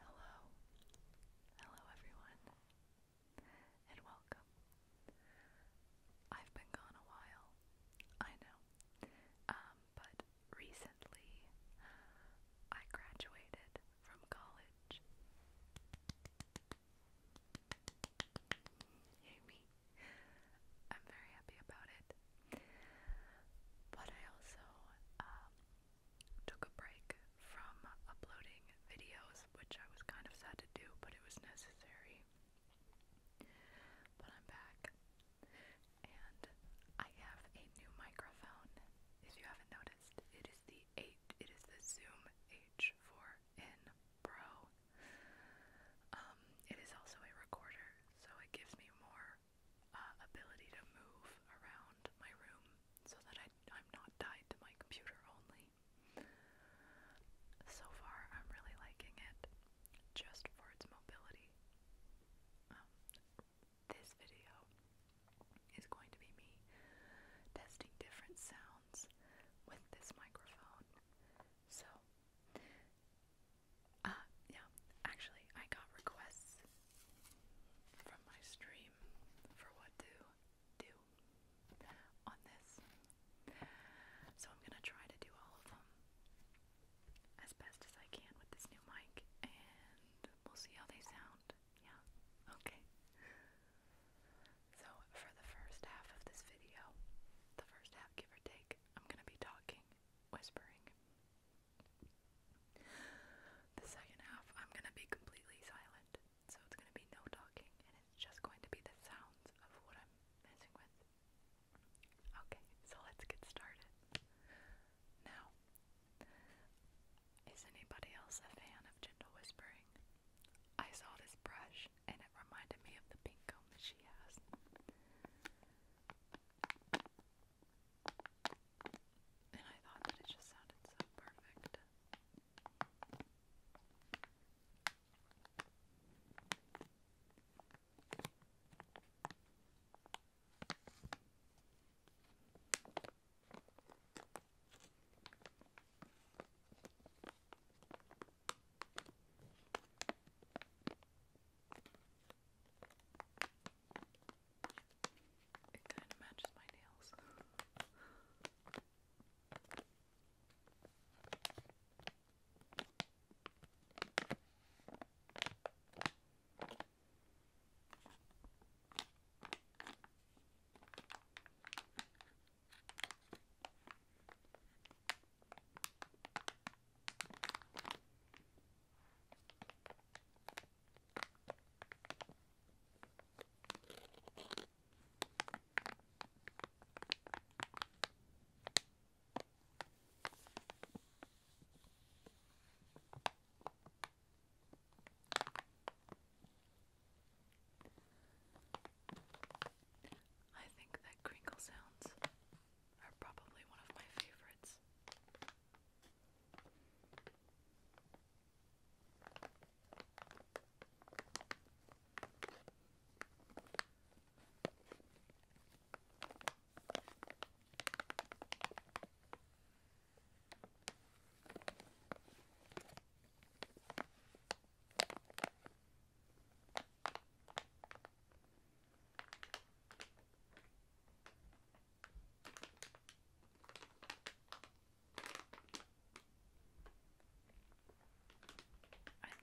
Hello, hello everyone, and welcome. I've been gone a while, I know, um, but recently I graduated from college. Yay I'm very happy about it. But I also um, took a break from uploading videos, which I was kind of sad to do, but it was necessary. But I'm back. And I have a new microphone. If you haven't noticed, it is the 8, it is the Zoom H4n Pro. Um, it is also a recorder, so it gives me more uh, ability to move around my room so that I, am not tied to my computer only. So far, I'm really liking it just for its mobility. Um, this video is going to be me testing different sounds with this microphone. So, uh, yeah, actually, I got requests from my stream for what to do on this. So I'm gonna try to do all of them as best as I can with this new mic, and we'll see how they sound. Yeah, okay. So, for the first half of this video, the first half, give or take, I'm gonna be talking whispering. The second half, I'm gonna be completely silent, so it's gonna be no talking, and it's just going to be the sounds of what I'm messing with. Okay, so let's get started. Now, is anybody else a fan of gentle whispering? I saw this brush, and it reminded me of the pink comb that she has. And I thought that it just sounded so perfect. It kind of matches my nails. I think that crinkle sounds are probably one of my favorites. I'm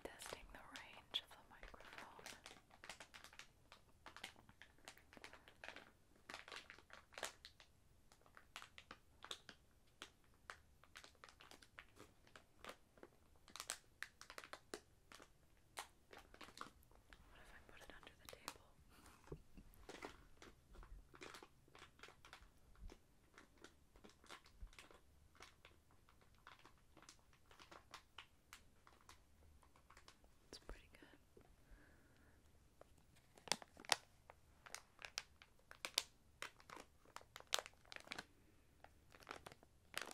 testing the range of the microphone. What if I put it under the table? It's pretty good.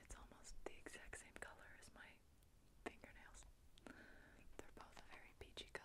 It's almost the exact same color as my fingernails. They're both a very peachy color.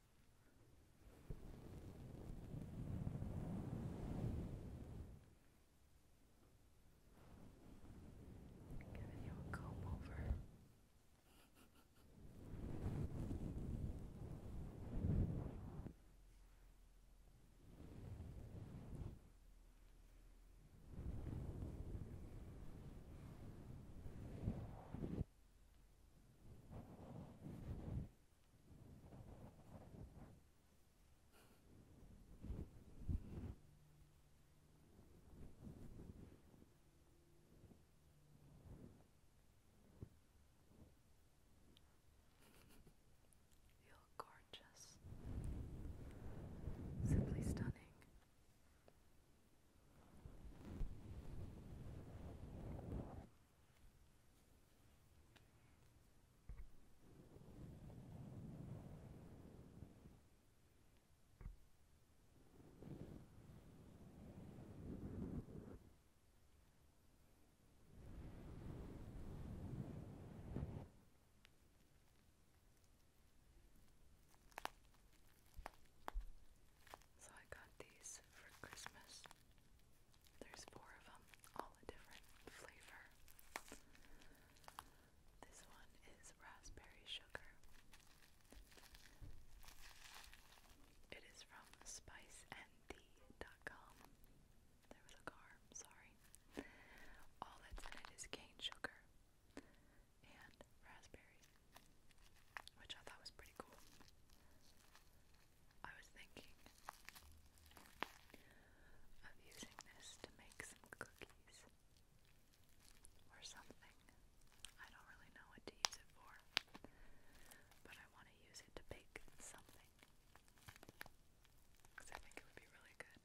Giving you a comb over. You're gorgeous. Simply stunning. So I got these for Christmas. There's four of them, all a different flavor. This one is raspberry sugar. It is from spiceanD.com. There was a car, sorry. All that's in it is cane sugar and raspberries which I thought was pretty cool. I was thinking of using this to make some cookies or something. I don't really know what to use it for, but I want to use it to bake something because I think it would be really good.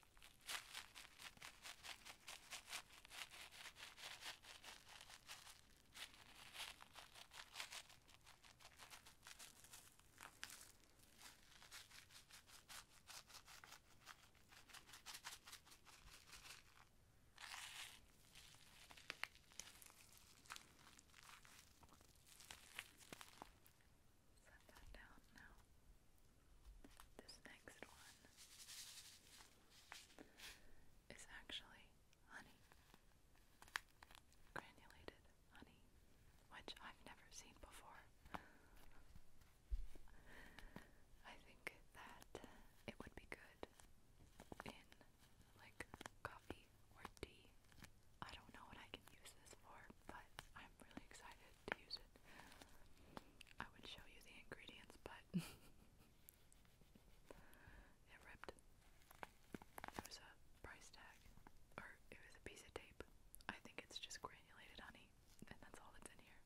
Set that down now. This next one is actually honey. Granulated honey, which I've never seen before. I think that it would be good in like coffee or tea. I don't know what I can use this for, but I'm really excited to use it. I would show you the ingredients, but it ripped. It was a price tag, or it was a piece of tape. I think it's just granulated honey, and that's all that's in here.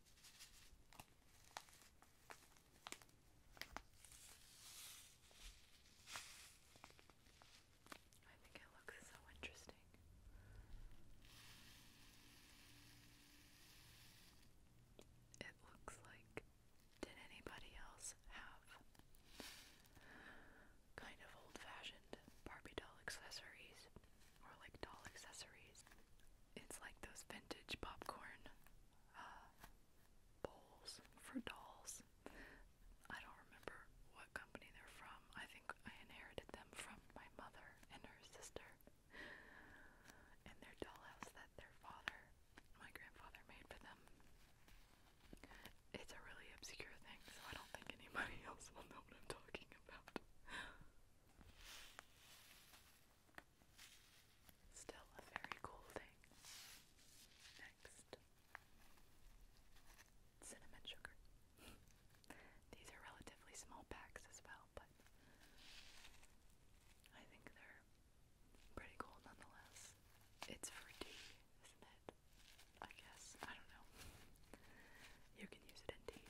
I think it looks so interesting. It looks like did anybody else have kind of old fashioned Barbie doll accessories? or like doll accessories. It's like those vintage popcorn uh, bowls for dolls. I don't remember what company they're from. I think I inherited them from my mother and her sister and their dollhouse that their father, my grandfather, made for them. It's a really obscure thing, so I don't think anybody else will know what I'm talking about. Still a very cool thing. Next, cinnamon sugar. These are relatively small packs as well, but I think they're pretty cool nonetheless. It's for tea, isn't it? I guess. I don't know. You can use it in tea.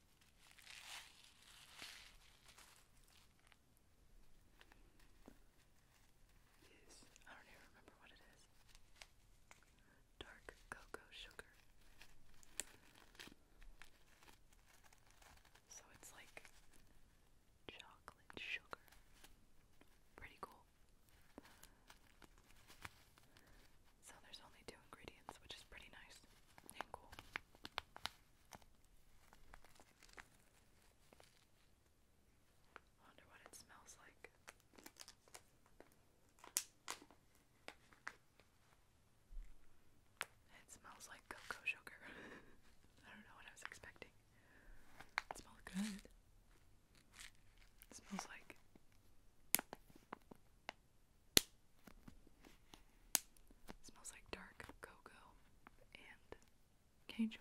Yes, I don't even remember what it is. Dark cocoa sugar. So it's like chocolate sugar. Pretty cool. So there's only two ingredients, which is pretty nice and cool. wonder what it smells like. It smells like cocoa sugar. I don't know what I was expecting. It smells good. It smells like it smells like dark cocoa and cane sugar.